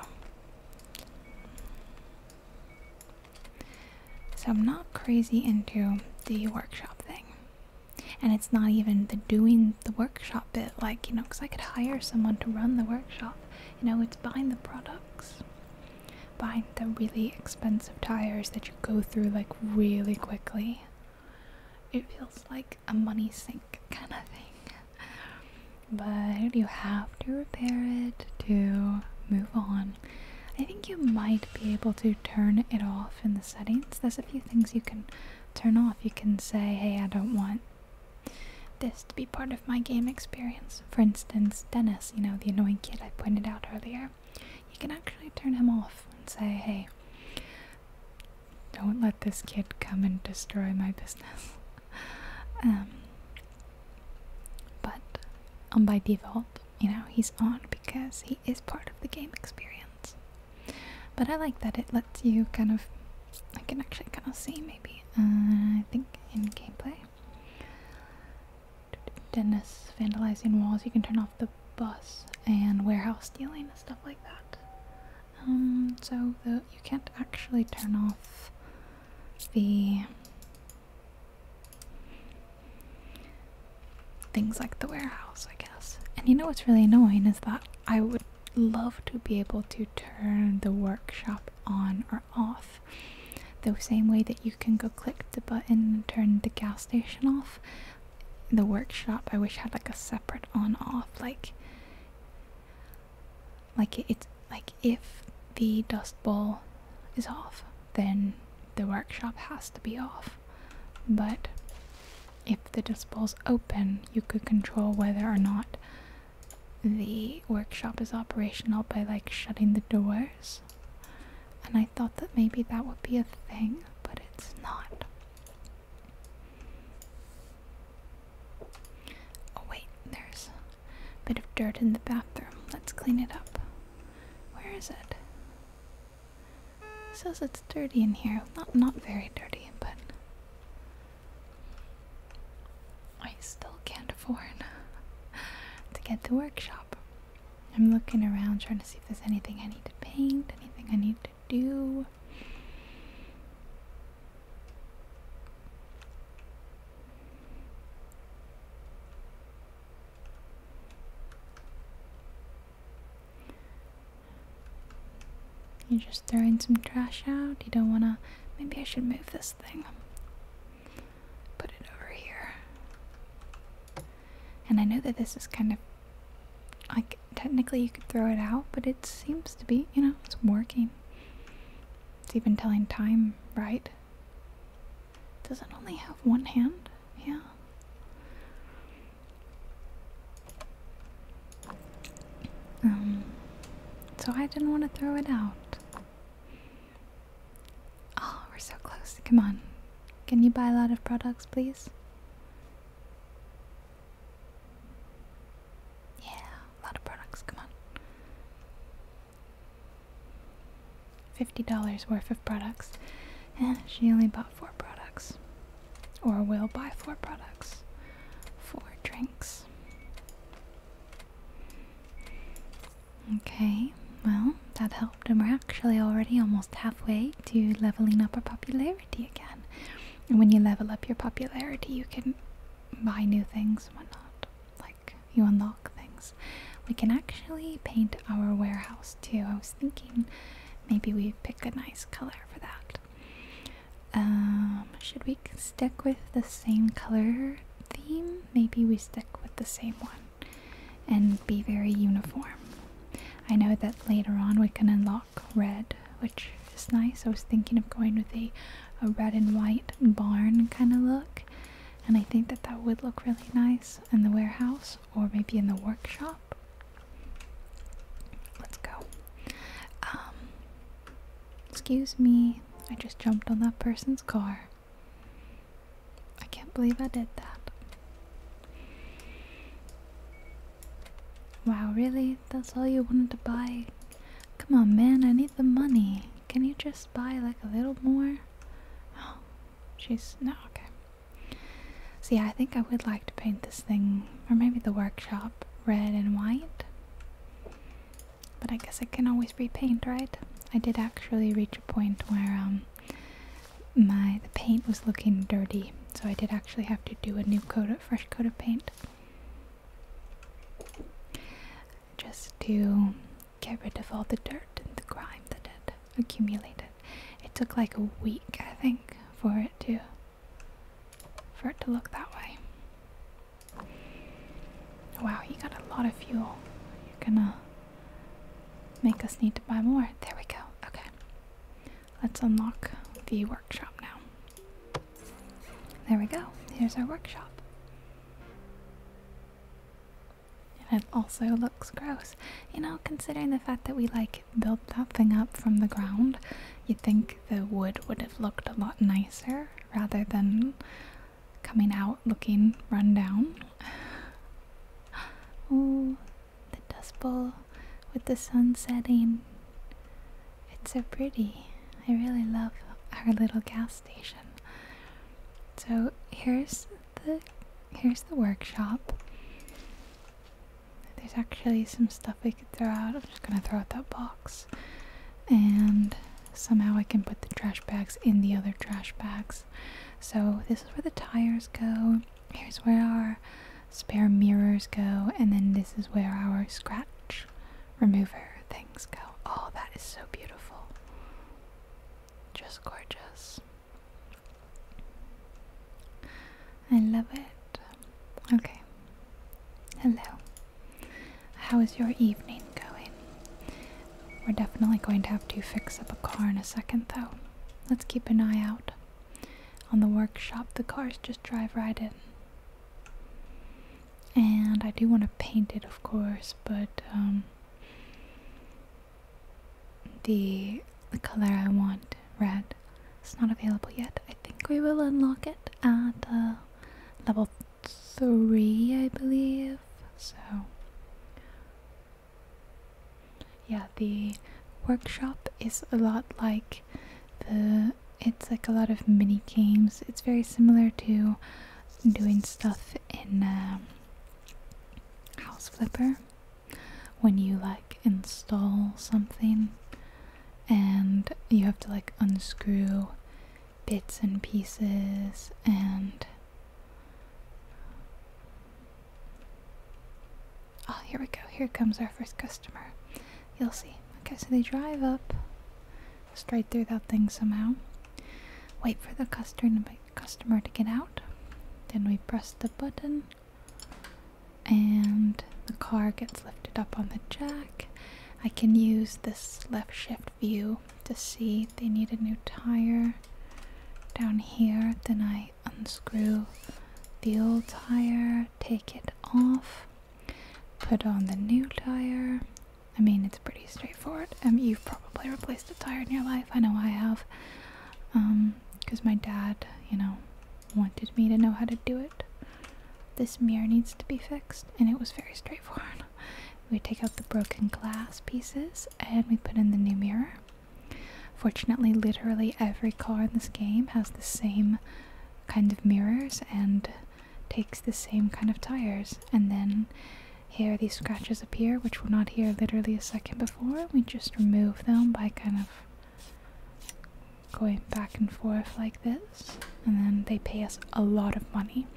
so I'm not crazy into the workshop thing. And it's not even the doing the workshop bit, like, you know, because I could hire someone to run the workshop. You know, it's buying the products, buying the really expensive tires that you go through like really quickly. It feels like a money sink kind of thing but you have to repair it to move on. I think you might be able to turn it off in the settings. There's a few things you can turn off. You can say, hey, I don't want this to be part of my game experience. For instance, Dennis, you know, the annoying kid I pointed out earlier, you can actually turn him off and say, hey, don't let this kid come and destroy my business. um, but um, by default, you know, he's on because he is part of the game experience. But I like that it lets you kind of, I can actually kind of see maybe, uh, I think in gameplay. Dennis vandalizing walls, you can turn off the bus and warehouse stealing and stuff like that. Um, so the, you can't actually turn off the things like the warehouse, I guess. And you know what's really annoying is that I would love to be able to turn the workshop on or off. The same way that you can go click the button and turn the gas station off. The workshop I wish had like a separate on off like like it's like if the dust bowl is off, then the workshop has to be off. But if the dust bowl's open, you could control whether or not the workshop is operational by like shutting the doors. And I thought that maybe that would be a thing, but it's not. Oh wait, there's Bit of dirt in the bathroom. Let's clean it up. Where is it? says it's dirty in here. Not not very dirty, but I still can't afford to get the workshop. I'm looking around trying to see if there's anything I need to paint, anything I need to do. You're just throwing some trash out. You don't want to. Maybe I should move this thing. Put it over here. And I know that this is kind of. Like, technically you could throw it out, but it seems to be, you know, it's working. It's even telling time right. Does it only have one hand? Yeah. Um, so I didn't want to throw it out. Oh, we're so close. Come on. Can you buy a lot of products, please? Yeah, a lot of products. Come on. $50 worth of products, and eh, she only bought four products. Or will buy four products. Four drinks. Okay, well, that helped, and we're actually already almost halfway to leveling up our popularity again. And when you level up your popularity, you can buy new things and whatnot, like you unlock things. We can actually paint our warehouse too. I was thinking maybe we pick a nice color for that. Um, should we stick with the same color theme? Maybe we stick with the same one and be very uniform. I know that later on we can unlock red, which is nice. I was thinking of going with a, a red and white barn kind of look and I think that that would look really nice in the warehouse or maybe in the workshop. Let's go. Um, excuse me, I just jumped on that person's car. I can't believe I did that. Wow, really? That's all you wanted to buy? Come on, man, I need the money. Can you just buy like a little more? Oh, she's no okay. See, I think I would like to paint this thing, or maybe the workshop, red and white. But I guess I can always repaint, right? I did actually reach a point where um my the paint was looking dirty, so I did actually have to do a new coat of fresh coat of paint. Just to get rid of all the dirt and the grime that had accumulated. It took like a week, I think, for it to for it to look that way. Wow, you got a lot of fuel. You're gonna make us need to buy more. There we go. Okay. Let's unlock the workshop now. There we go. Here's our workshop. And it also looks gross. You know, considering the fact that we like built that thing up from the ground, you'd think the wood would have looked a lot nicer rather than coming out looking run down. Ooh, the Dust Bowl with the sun setting. It's so pretty. I really love our little gas station. So here's the here's the workshop. There's actually some stuff we could throw out. I'm just gonna throw out that box. And somehow I can put the trash bags in the other trash bags. So this is where the tires go. Here's where our spare mirrors go. And then this is where our scratch remover things go. Oh, that is so beautiful. Just gorgeous. I love it. Okay. Hello. How is your evening going? We're definitely going to have to fix up a car in a second, though. Let's keep an eye out. On the workshop, the cars just drive right in and I do want to paint it, of course, but um, the the color I want, red, is not available yet. I think we will unlock it at uh, level three, I believe. So, yeah, the workshop is a lot like the. It's like a lot of mini games. It's very similar to doing stuff in um, House Flipper when you like install something and you have to like unscrew bits and pieces and oh here we go here comes our first customer you'll see okay so they drive up straight through that thing somehow. Wait for the customer to get out. Then we press the button, and the car gets lifted up on the jack. I can use this left shift view to see they need a new tire down here. Then I unscrew the old tire, take it off, put on the new tire, I mean, it's pretty straightforward. Um, you've probably replaced a tire in your life. I know I have. Um, because my dad, you know, wanted me to know how to do it. This mirror needs to be fixed, and it was very straightforward. We take out the broken glass pieces and we put in the new mirror. Fortunately, literally every car in this game has the same kind of mirrors and takes the same kind of tires. And then here these scratches appear, which were not here literally a second before. We just remove them by kind of going back and forth like this. And then they pay us a lot of money.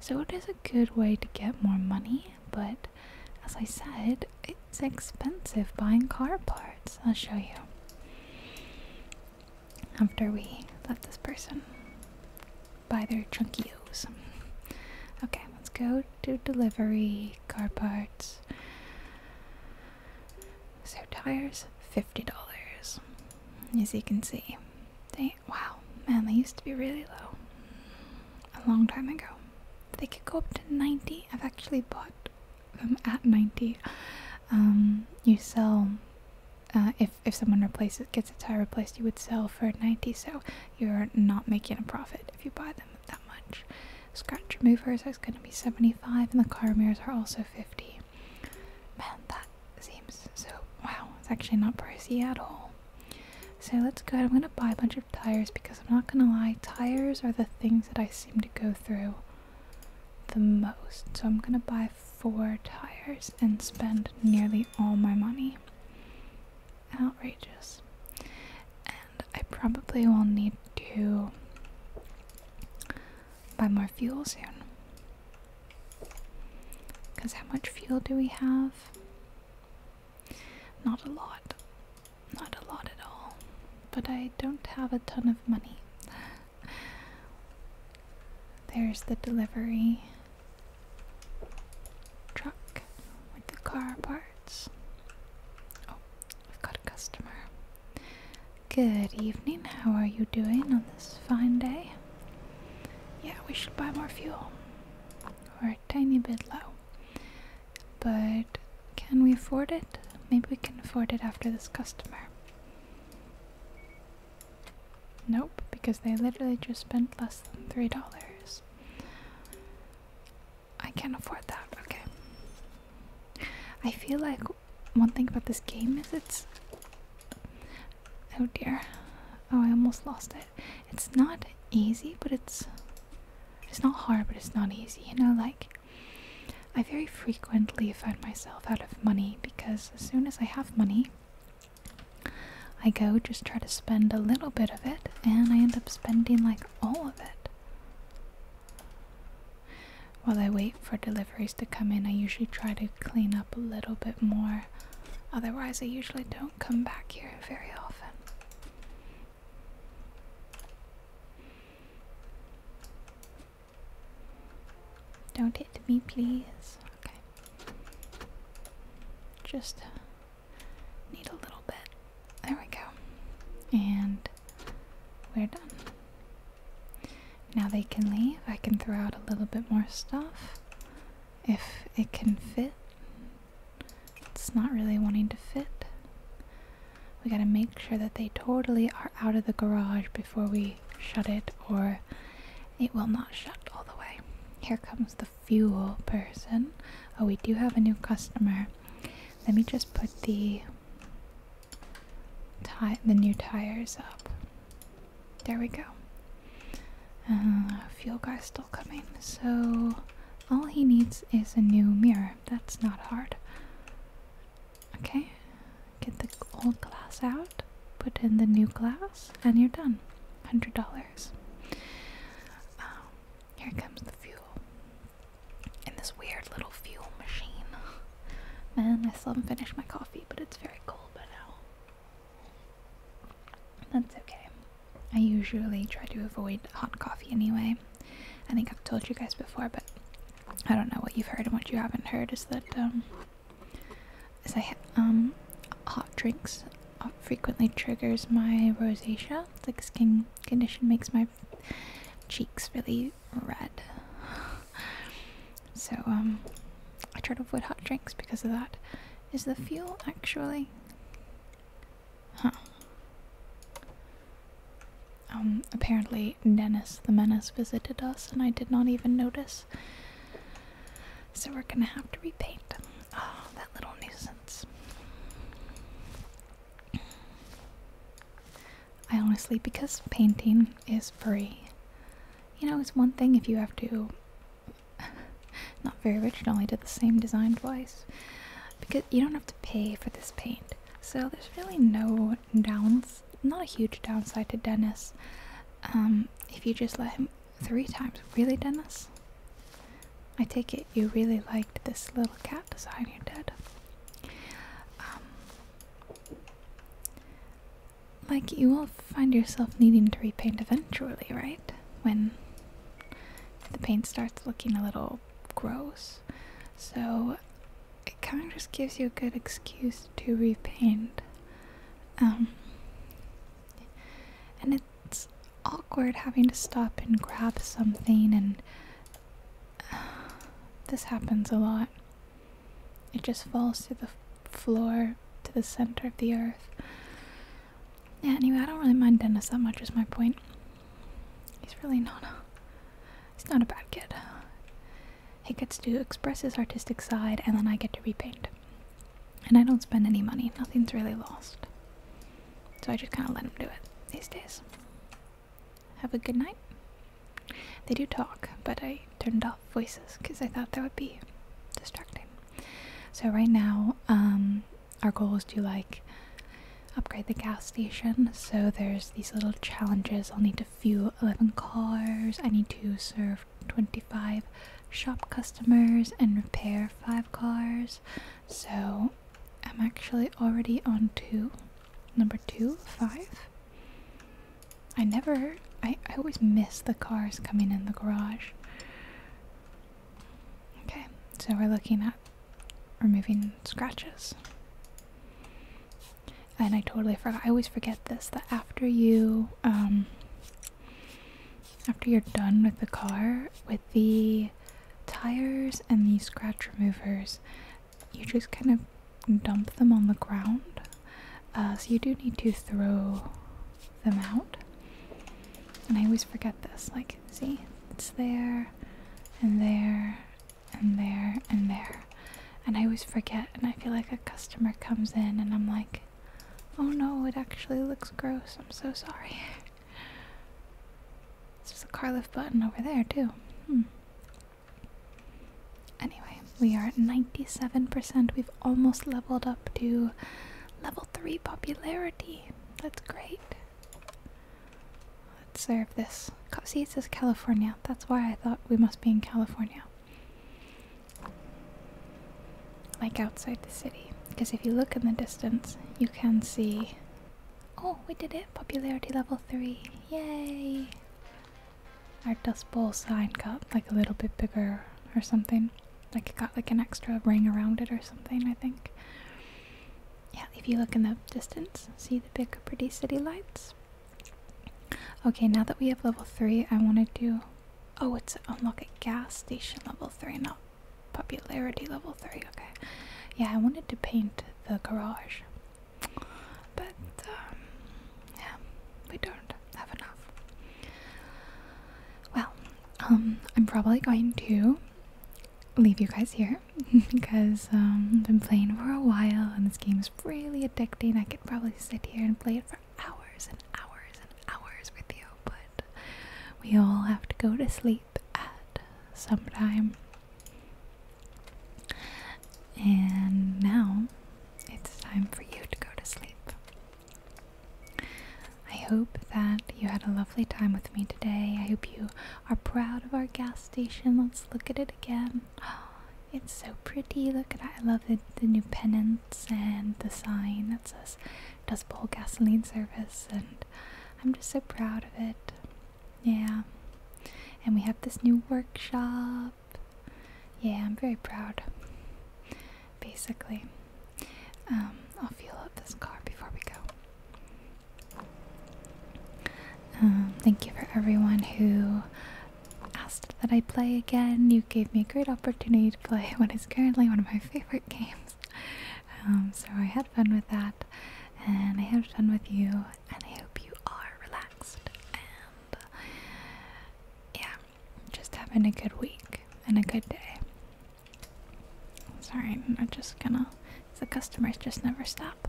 So it is a good way to get more money, but as I said, it's expensive buying car parts. I'll show you. After we let this person by their trunkios. Okay, let's go to delivery, car parts. So tires, $50. As you can see. They, wow, man, they used to be really low. A long time ago. They could go up to 90. I've actually bought them at 90. Um, you sell uh, if if someone replaces gets a tire replaced, you would sell for ninety. So you're not making a profit if you buy them that much. Scratch removers is going to be seventy five, and the car mirrors are also fifty. Man, that seems so. Wow, it's actually not pricey at all. So let's go ahead. I'm going to buy a bunch of tires because I'm not going to lie. Tires are the things that I seem to go through the most. So I'm going to buy four tires and spend nearly all my money. Outrageous. And I probably will need to buy more fuel soon. Because how much fuel do we have? Not a lot. Not a lot at all. But I don't have a ton of money. There's the delivery truck with the car parts. Oh, I've got a customer. Good evening, how are you doing on this fine day? Yeah, we should buy more fuel. We're a tiny bit low. But can we afford it? Maybe we can afford it after this customer. Nope, because they literally just spent less than three dollars. I can't afford that, okay. I feel like one thing about this game is it's. Oh dear. Oh, I almost lost it. It's not easy, but it's. It's not hard, but it's not easy. You know, like. I very frequently find myself out of money because as soon as I have money, I go just try to spend a little bit of it, and I end up spending like all of it. While I wait for deliveries to come in, I usually try to clean up a little bit more. Otherwise, I usually don't come back here very often. Don't hit me, please. Okay. Just need a little bit. There we go. And we're done. Now they can leave. I can throw out a little bit more stuff if it can fit. It's not really wanting to fit. We gotta make sure that they totally are out of the garage before we shut it or it will not shut all the way. Here comes the fuel person. Oh, we do have a new customer. Let me just put the ti the new tires up. There we go. Uh, fuel guy still coming. So all he needs is a new mirror. That's not hard. Okay, get the old glass out put in the new glass, and you're done. $100. Um, here comes the fuel. In this weird little fuel machine. Man, I still haven't finished my coffee, but it's very cold by now. That's okay. I usually try to avoid hot coffee anyway. I think I've told you guys before, but I don't know what you've heard and what you haven't heard is that um, as I um, hot drinks uh, frequently triggers my rosacea. It's like skin condition makes my cheeks really red. So um, I try to avoid hot drinks because of that. Is the fuel actually? Huh. Um, apparently Dennis the Menace visited us and I did not even notice. So we're gonna have to repaint. Oh, that little nuisance. I honestly, because painting is free, you know, it's one thing if you have to. Not very rich, only did the same design twice. Because you don't have to pay for this paint. So there's really no downs, not a huge downside to Dennis. Um, if you just let him Three times. Really, Dennis? I take it you really liked this little cat design you did. Um, like, you will find yourself needing to repaint eventually, right? When the paint starts looking a little gross. So, it kind of just gives you a good excuse to repaint. Um, and it's awkward having to stop and grab something, and this happens a lot. It just falls to the floor, to the center of the earth. Yeah, anyway, I don't really mind Dennis that much, is my point. He's really not a. He's not a bad kid. He gets to express his artistic side, and then I get to repaint. And I don't spend any money, nothing's really lost. So I just kind of let them do it these days. Have a good night. They do talk, but I turned off voices because I thought that would be distracting. So right now, um, our goal is to like upgrade the gas station. So there's these little challenges. I'll need to fuel 11 cars. I need to serve 20 Five shop customers and repair 5 cars. So I'm actually already on 2. Number 2, 5. I never, I, I always miss the cars coming in the garage. Okay, so we're looking at removing scratches. And I totally forgot. I always forget this that after you um, after you're done with the car, with the tires and the scratch removers, you just kind of dump them on the ground. Uh, so you do need to throw them out. And I always forget this. Like, see, it's there, and there, and there, and there. And I always forget, and I feel like a customer comes in and I'm like, Oh no, it actually looks gross. I'm so sorry. There's a car lift button over there, too. Hmm. Anyway, we are at 97%. We've almost leveled up to level 3 popularity. That's great. Let's serve this. See, it says California. That's why I thought we must be in California like outside the city. Because if you look in the distance, you can see. Oh, we did it! Popularity level 3. Yay! Our Dust Bowl sign got like a little bit bigger or something. Like it got like an extra ring around it or something, I think. Yeah, if you look in the distance, see the big, pretty city lights. Okay, now that we have level 3, I want to do Oh, it's unlock a gas station level 3, not popularity level 3. Okay. Yeah, I wanted to paint the garage. But, um, yeah, we don't have enough. Well, um, I'm probably going to leave you guys here because um, I've been playing for a while and this game is really addicting. I could probably sit here and play it for hours and hours and hours with you, but we all have to go to sleep at some time. And now it's time for you to go to sleep. I hope that you had a lovely time with me today. I hope you are proud of our gas station. Let's look at it again. it's so pretty. Look at that. I love the, the new pennants and the sign that says does Dust gasoline service, and I'm just so proud of it. Yeah. And we have this new workshop. Yeah, I'm very proud. Basically, um, I'll fuel up this car before we go. Um, thank you for everyone who asked that I play again. You gave me a great opportunity to play currently one of my favorite games. Um, so I had fun with that, and I had fun with you, and I hope you are relaxed and uh, yeah, just having a good week and a good day. Sorry, I'm just gonna. The customers just never stop.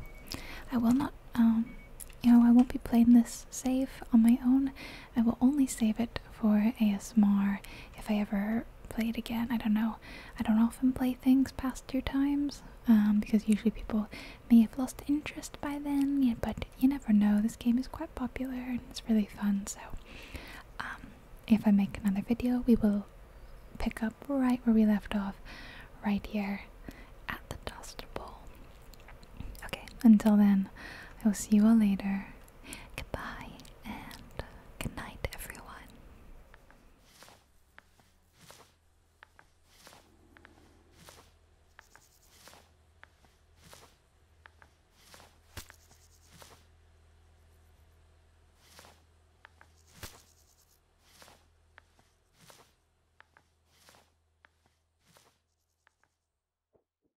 I will not. Um, you know, I won't be playing this save on my own. I will only save it for ASMR if I ever play it again. I don't know. I don't often play things past two times um, because usually people may have lost interest by then, yeah, but you never know. This game is quite popular and it's really fun, so um, if I make another video, we will pick up right where we left off, right here at the Dust Bowl. Okay, until then, I will see you all later. Goodbye and good night, everyone.